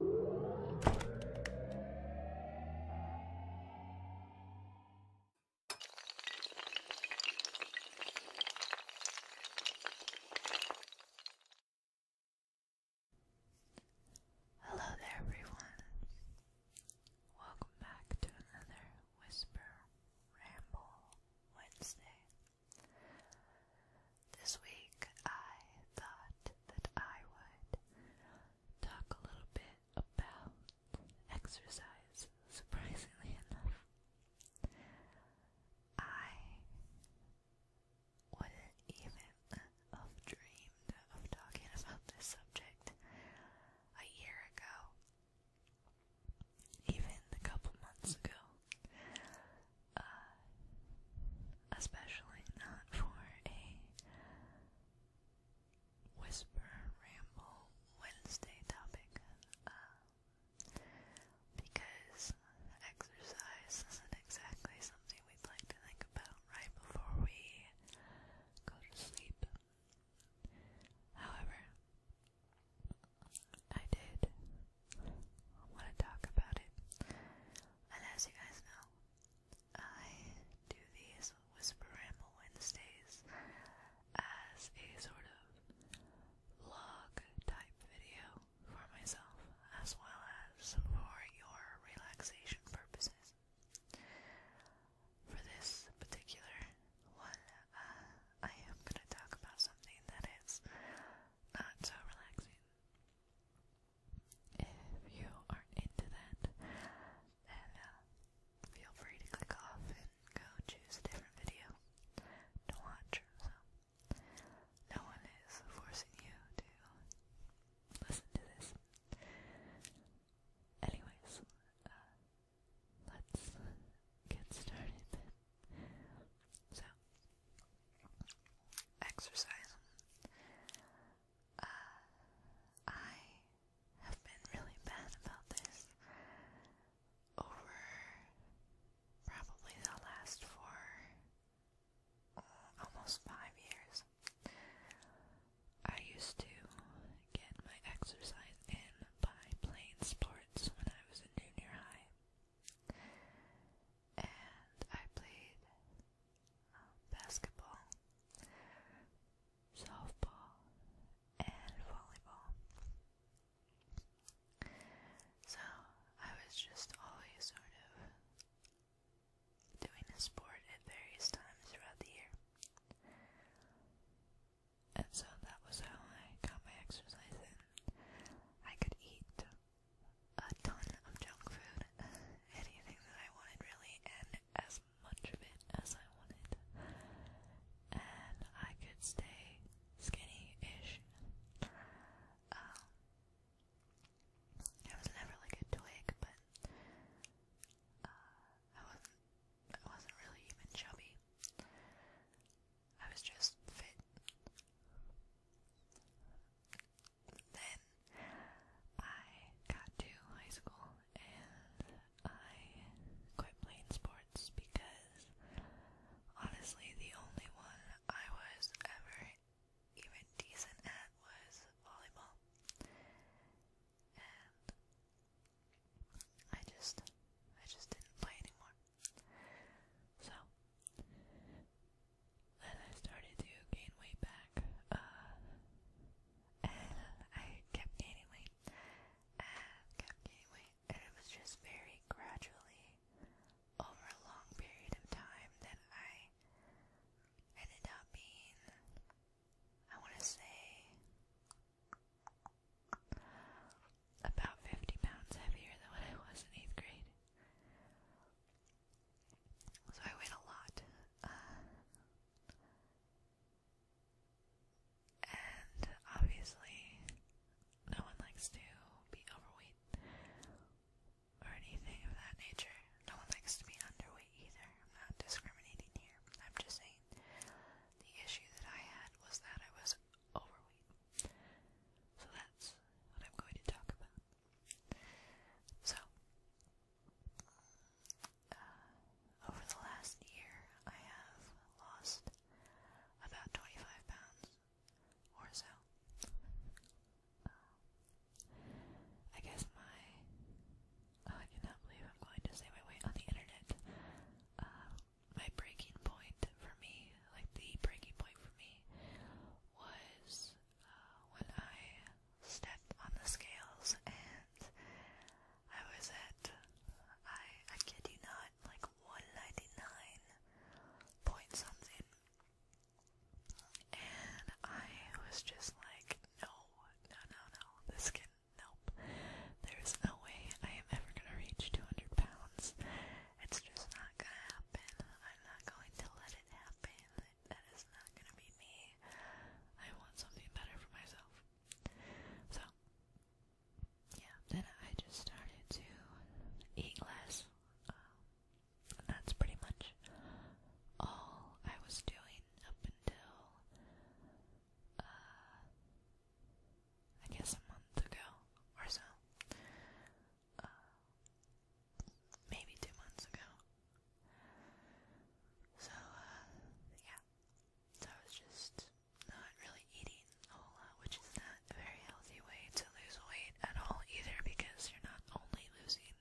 Hello there, everyone. Welcome back to another Whisper Ramble Wednesday. This week I thought that I would talk a little bit about exercise, surprisingly enough. I wouldn't even have dreamed of talking about this subject a year ago, even a couple months ago. Uh, especially not for a whisper ramble Wednesday topic, uh, because exercise isn't exactly something we'd like to think about right before we go to sleep. However, I did want to talk about it and as you guys know, I do these Whisper Ramble Wednesdays as a sort of log type video for myself as well as for your relaxation purposes. For this particular one, uh, I am going to talk about something that is not so relaxing. If you are into that, uh, feel free to click off and go choose a different video to watch. So, no one is forcing you to listen to this. Anyways, uh, let's get started So, exercise. Uh, I have been really bad about this over probably the last four, uh, almost five years. I used to get my exercise in by playing sports when I was in junior high. And I played um, basketball, softball, and volleyball. So I was just always sort of doing a sport at various times throughout the year. And so that was how I got my exercise in. I could eat a ton of junk food, anything that I wanted really, and as much of it as I wanted. And I could stay skinny-ish. Um, I was never like a twig, but uh, I wasn't. I wasn't really even chubby. I was just fit. Then I got to high school and I quit playing sports because honestly the only one I was ever even decent at was volleyball. And I just I just didn't play anymore. So and I started to gain weight back. Uh, and I kept gaining weight kept gaining weight, and it was just very gradually over a long period of time that I ended up being, I want to say, about 50 pounds heavier than what I was in 8th grade. So I weigh a lot. and obviously, no one likes to be overweight or anything of that nature. No one likes to be underweight either. I'm not discriminating here. I'm just saying the issue that I had was that I was overweight. So that's what I'm going to talk about. So, uh, over the last year, I have lost about 25 pounds or so. Uh, I guess my. Oh, I cannot believe I'm going to say my weight on the internet. Uh, my breaking point for me, like the breaking point for me, was uh, when I stepped on the scales and I was at, I, I kid you not, like 199 point something. And I was just like, no, no, no, no, this can, nope. There's no way I am ever gonna reach 200 pounds. It's just not gonna happen. I i not going to let it happen. That is not going to be me. I want something better for myself. So, yeah, then I just started to eat less. Um, that's pretty much all I was doing up until, uh, I guess a month ago or so uh, maybe two months ago. So, uh, yeah. So I was just not really eating a whole lot, which is not a very healthy way to lose weight at all either because you're not only losing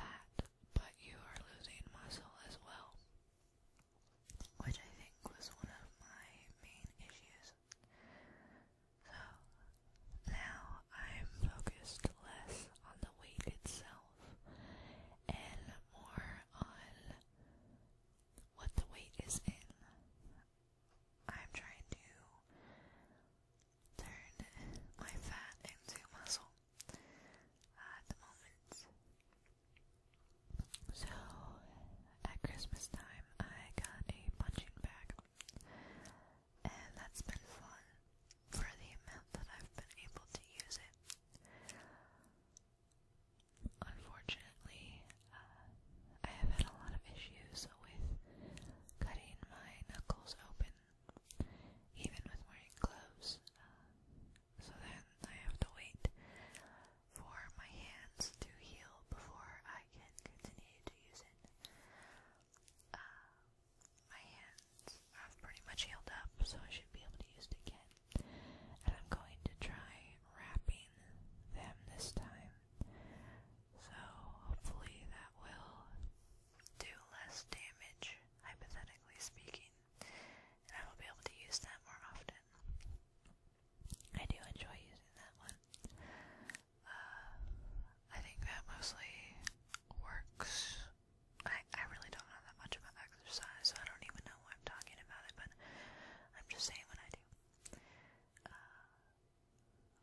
fat, but you are losing muscle as well. Which I think was one of my main issues so now I'm focused less on the weight itself and more on what the weight is in. I'm trying to turn my fat into muscle at the moment. So, at Christmas time, I got a punching bag and that's been fun for the amount that I've been able to use it. Unfortunately, uh, I have had a lot of issues with cutting my knuckles open, even with wearing gloves. Uh, so then I have to wait for my hands to heal before I can continue to use it. Uh, my hands have pretty much healed up, so I should be able to use it again. And I'm going to try wrapping them this time. So hopefully that will do less damage, hypothetically speaking, and I will be able to use that more often. I do enjoy using that one. Uh, I think that mostly works. I, I really don't know that much about exercise, so I don't even know why I'm talking about it, but I'm just saying what I do. Uh,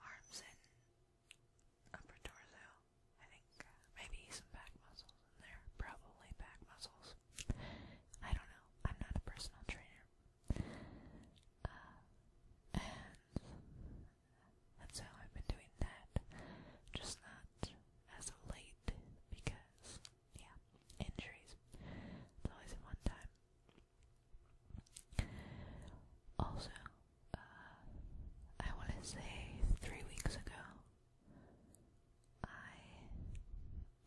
arms and upper torso, I think. Uh, maybe some back muscles in there. Probably back muscles. I don't know. I'm not a personal trainer. Uh, and that's I've been doing that. Just not as of late because, yeah, injuries. It's always in one time. Also, uh, I want to say three weeks ago, I,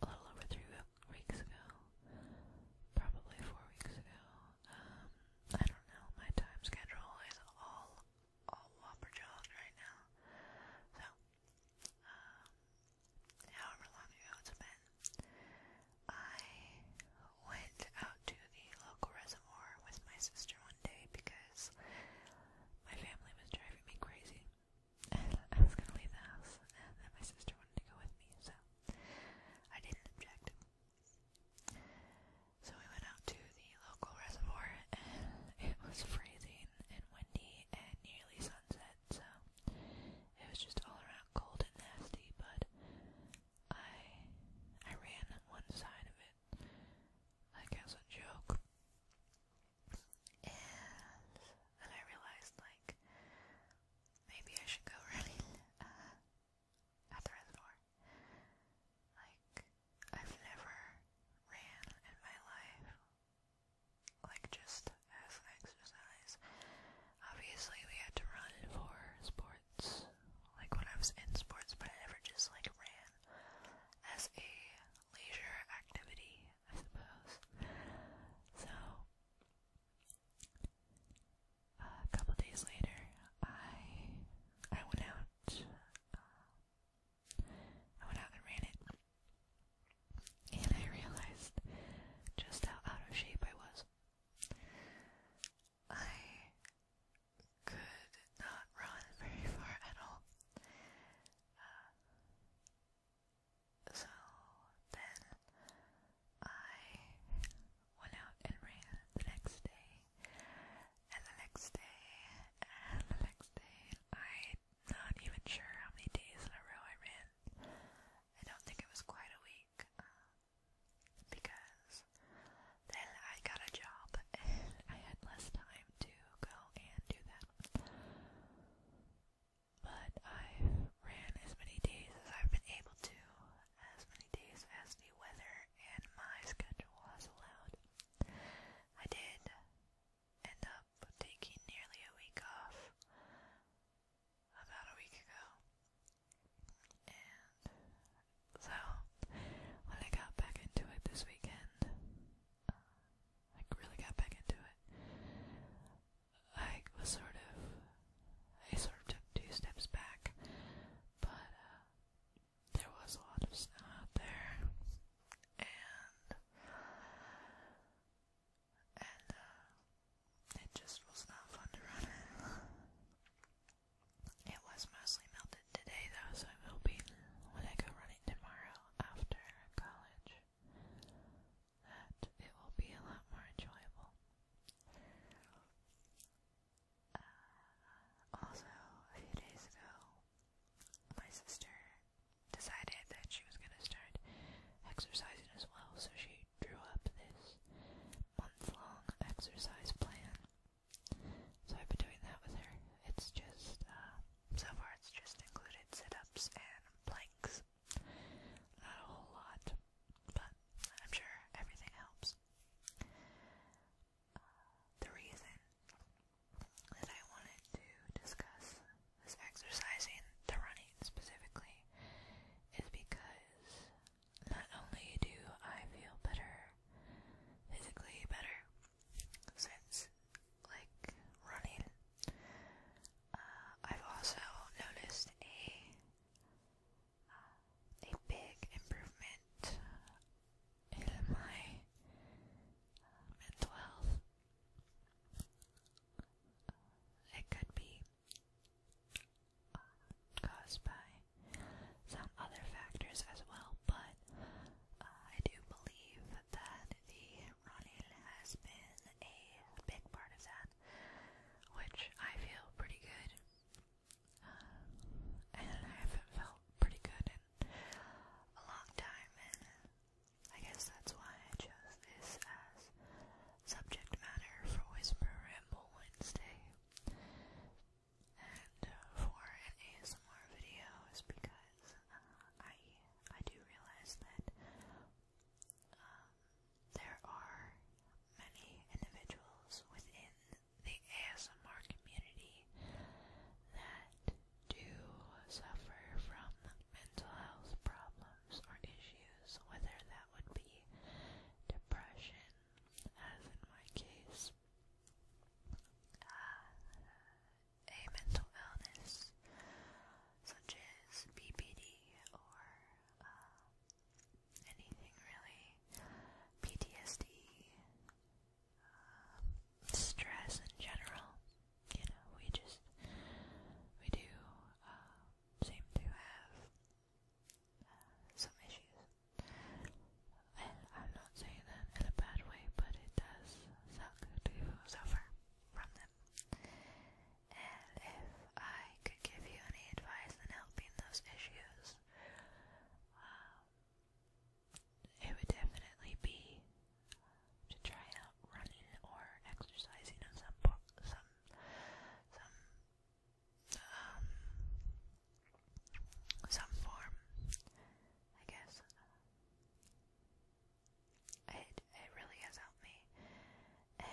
a little over three weeks ago, probably four weeks ago, I don't know, my time schedule is all, all whopper-jawed right now, so, um, however long ago it's been, I went out to the local reservoir with my sister one day because my family was driving me crazy, I was gonna leave the house, and then my sister wanted to go with me, so I didn't object. So we went out to the local reservoir and it was freezing and windy and nearly sunset, so it was just all around cold and nasty, but I I ran on one side of it like as a joke. And then I realized like maybe I should go running. Uh, at the reservoir. Like, I've never ran in my life, like just as an exercise. Obviously, we had to run for sports, like when I was in sports, but I never just like ran as a leisure activity, I suppose. So, a couple days later, I I went out. Uh, I went out and ran it, and I realized just how out of shape I was. I could not run very far at all. Uh, so then I went out and ran the next day, and the next day, and the next day. I'm not even sure how many days in a row I ran. I don't think it was quite a week, um, because then I got a job and I had less time to go and do that. But I've ran as many days as I've been able to, as many days as the weather and my schedule has allowed. I did end up taking nearly a week off about a week ago. And so, when I got back into it this weekend, uh, I really got back into it. I was sort of, I sort of took two steps back, but uh, there was a lot of snow out there, and and uh, it just was not fun to run in. It was mostly melted today, though, so I'm hoping when I go running tomorrow after college that it will be a lot more enjoyable. Uh, also, a few days ago, my sister decided that she was going to start exercising as well, so she drew up this month-long exercise plan. So I've been doing that with her. It's just, uh, so far it's just included sit-ups and planks. Not a whole lot, but I'm sure everything helps. Uh, the reason that I wanted to discuss this exercising, the running specifically, is because not only do I feel better, physically better, since like running, uh, I've also noticed a a big improvement in my um, mental health. It could be caused by some other factors as well, but uh, I do believe that the running has been a big part of that which I feel pretty good. Uh, and I haven't felt pretty good in a long time, and I guess that's why I chose this as subject matter for Whisper Ramble Wednesday. And uh, for ASMR video is because uh, I I do realize that um, there are many individuals within the ASMR community that do suffer from mental health problems or issues, whether that would be depression, as in my case, uh, a mental illness such as BPD or uh, anything really. PTSD, um, stress in general. You know, we just we do uh, seem to have uh, some issues, and I'm not saying that in a bad way, but it does suck to suffer from them. And if I could give you any advice in helping those issues, um, it would definitely be to try out running or exercising of some some some um some form, I guess. It it really has helped me and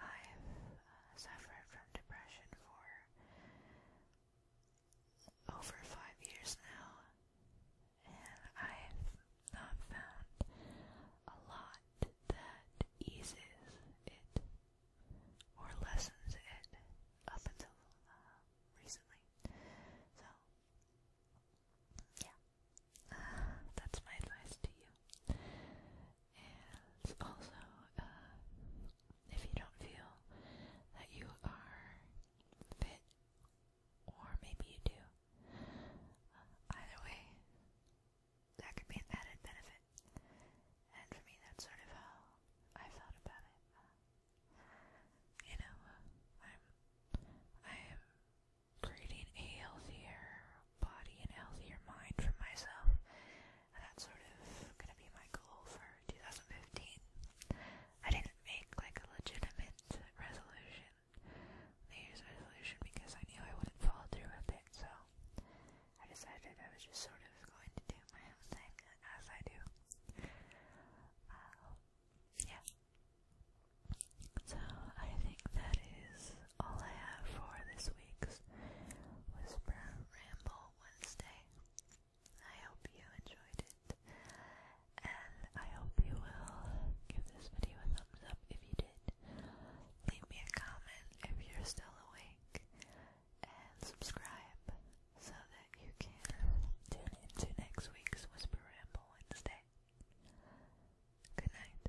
I've uh, suffered from depression for over five years now, and I've not found a lot that eases it or lessens it up until uh, recently. So, yeah, uh, that's my advice to you. And also, uh, if you don't feel that you are fit, or maybe you do, uh, either way, that could be an added benefit. And for me, that's sort of how I felt about it. Uh, you know, uh, I'm I am creating a healthier, body and healthier mind for myself. that's sort of gonna be my goal for 2015. I didn't make like a legitimate resolution, New Year's resolution, because I knew I wouldn't follow through with it, so I decided I was just sort of going to do my own thing as I do. Uh, yeah. So I think that is all I have for this week's Whisper Ramble Wednesday. I hope you enjoyed it, and I hope you will give this video a thumbs up if you did. Leave me a comment if you're still awake, and subscribe so that you can tune into next week's Whisper Ramble Wednesday. Good night.